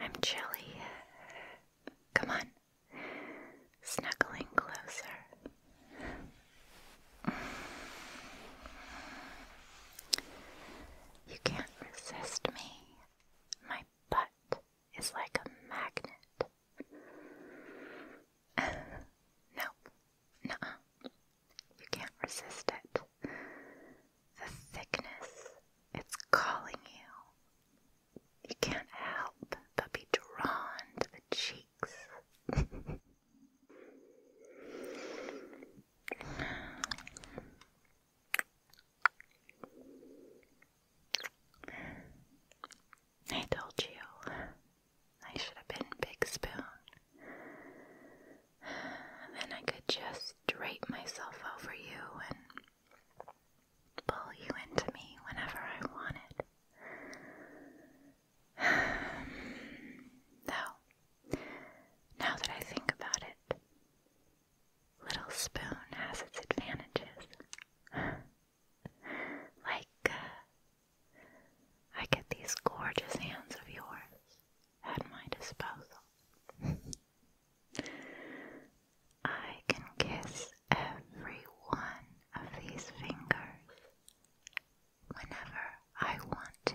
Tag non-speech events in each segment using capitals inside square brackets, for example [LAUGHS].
I'm chilly. Come on, snuggling closer. You can't resist me, my butt is like a magnet. [LAUGHS] nope. Nuh You can't resist it. The thickness, it's calling you. You can't help but be drawn to the cheeks. [LAUGHS] I told you I should have been Big Spoon. Then I could just drape myself over you and pull you into me whenever I wanted. [SIGHS] Though, now that I think about it, Little Spoon has its advantages. Like, uh, I get these gorgeous hands of yours at my disposal. I can kiss every one of these fingers whenever I want to.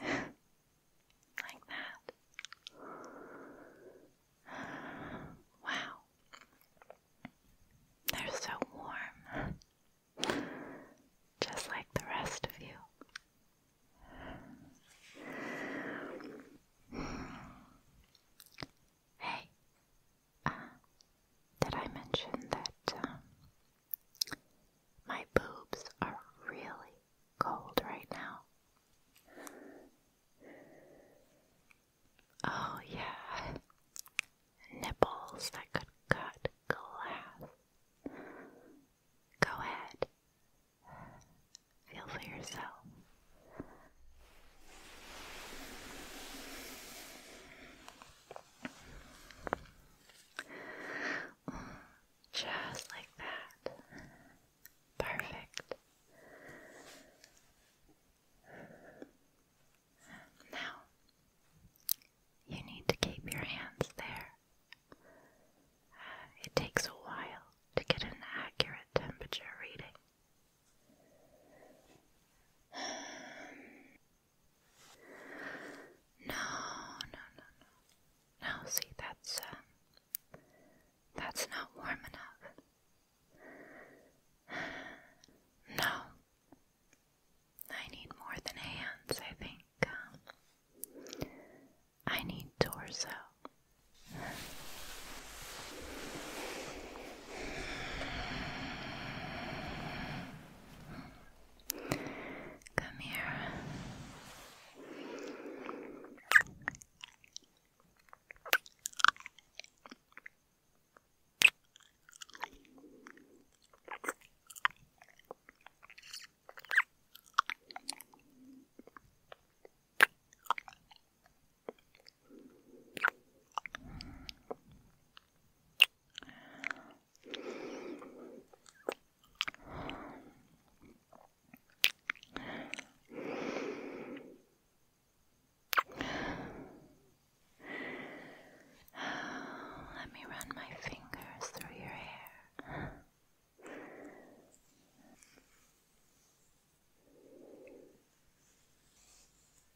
like that. Wow. They're so warm. Just like the rest of you. Hey, uh, did I mention that um, my boobs are really cold right now. Oh, yeah. Nipples that could cut glass. Go ahead. Feel for yourself. Just like that. Perfect. Now, you need to keep your hands there. it takes a while to get an accurate temperature reading. No, no, no, no. No, see, that's uh, that's not warm enough. [SIGHS] No, I need more than hands. I think um, I need torso. Come here. Let me run my fingers through your hair.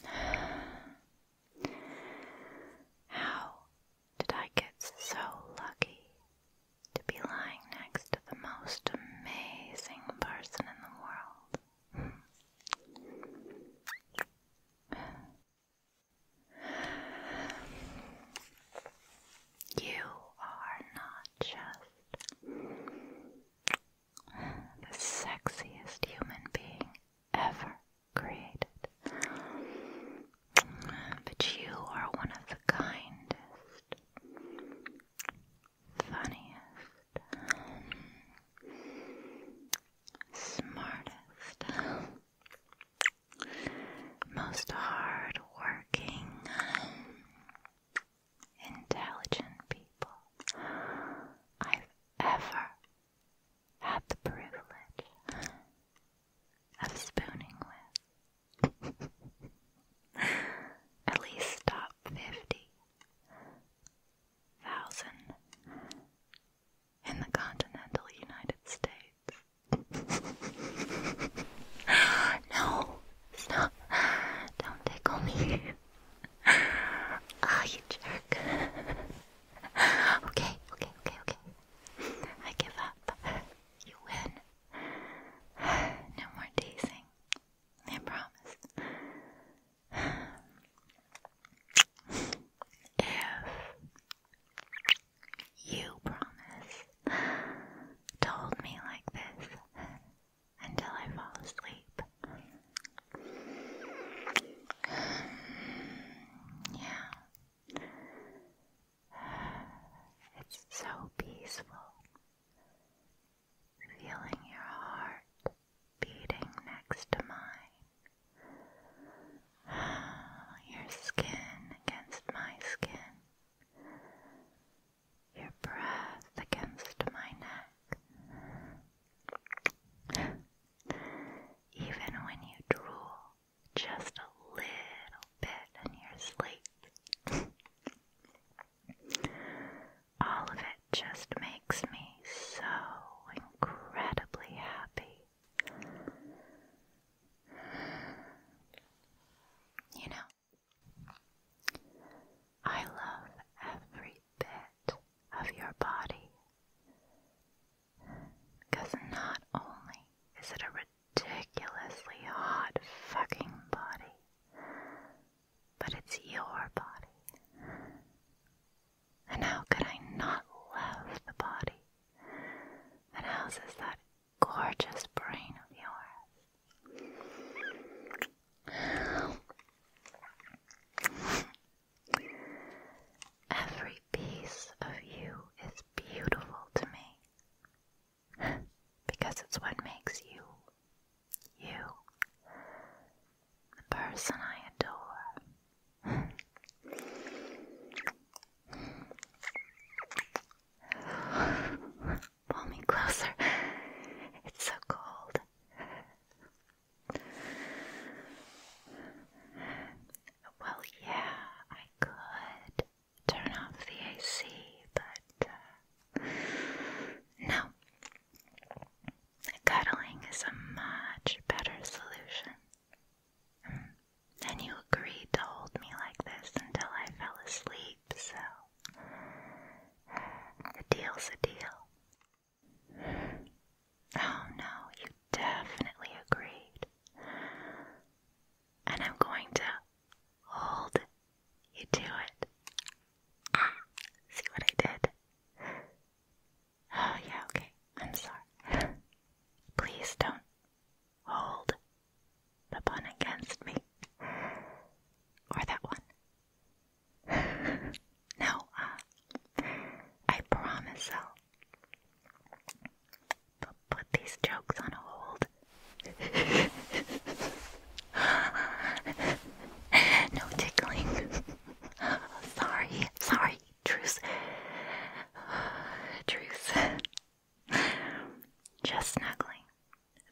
[SIGHS] How did I get so lucky to be lying next to the most amazing person in the world? You are not just the sexiest human being ever created, but you are one of the kindest, funniest, smartest most hard working, intelligent people I've ever had the privilege of spooning with. [LAUGHS] At least top 50,000 in the continental United States. [LAUGHS] no, stop. Don't tickle me. Ah, you jerk. okay, okay, okay, okay. I give up. You win. No more teasing. I promise. If you promise, to me like this until I fall asleep. [SIGHS] yeah. [SIGHS] It's so peaceful. Feeling your heart beating next to mine [SIGHS] Your skin against my skin, your breath against my neck. [SIGHS] Even when you drool just a little bit in your sleep, [LAUGHS] all of it just makes me so incredibly happy. You know, I love every bit of your body because not only is it a ridiculously hot fucking body, but it's your body. And how could I not love the body that houses that gorgeous brain of yours? Every piece of you is beautiful to me because it's what makes you you the person I adore. [LAUGHS] Pull me closer. It's so cold. Well, yeah, I could turn off the AC, but uh, no. Cuddling is a much better solution. Hmm. And you agreed to hold me like this until I fell asleep, so the deal's a deal. Oh no, you definitely agreed. And I'm going to hold you to it. [CLEARS THROAT] see what I did? Oh, yeah, okay. I'm sorry. [LAUGHS] Please don't hold the pun against me. Or that one. [LAUGHS] no, uh, I promise I'll put these jokes on hold. [LAUGHS] no tickling. sorry, sorry truce. [SIGHS] truce. [SIGHS] Just snuggling.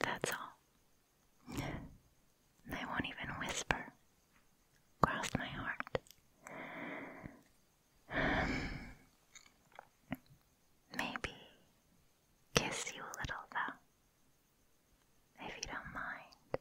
That's all. They won't even whisper. Cross my heart. [SIGHS] maybe kiss you a little though, if you don't mind.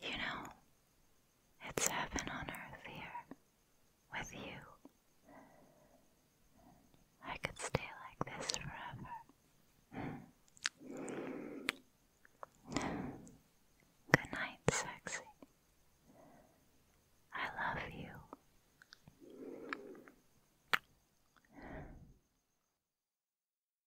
You know, it's heaven on earth here with you. I could stay like this forever. Good night, sexy. I love you.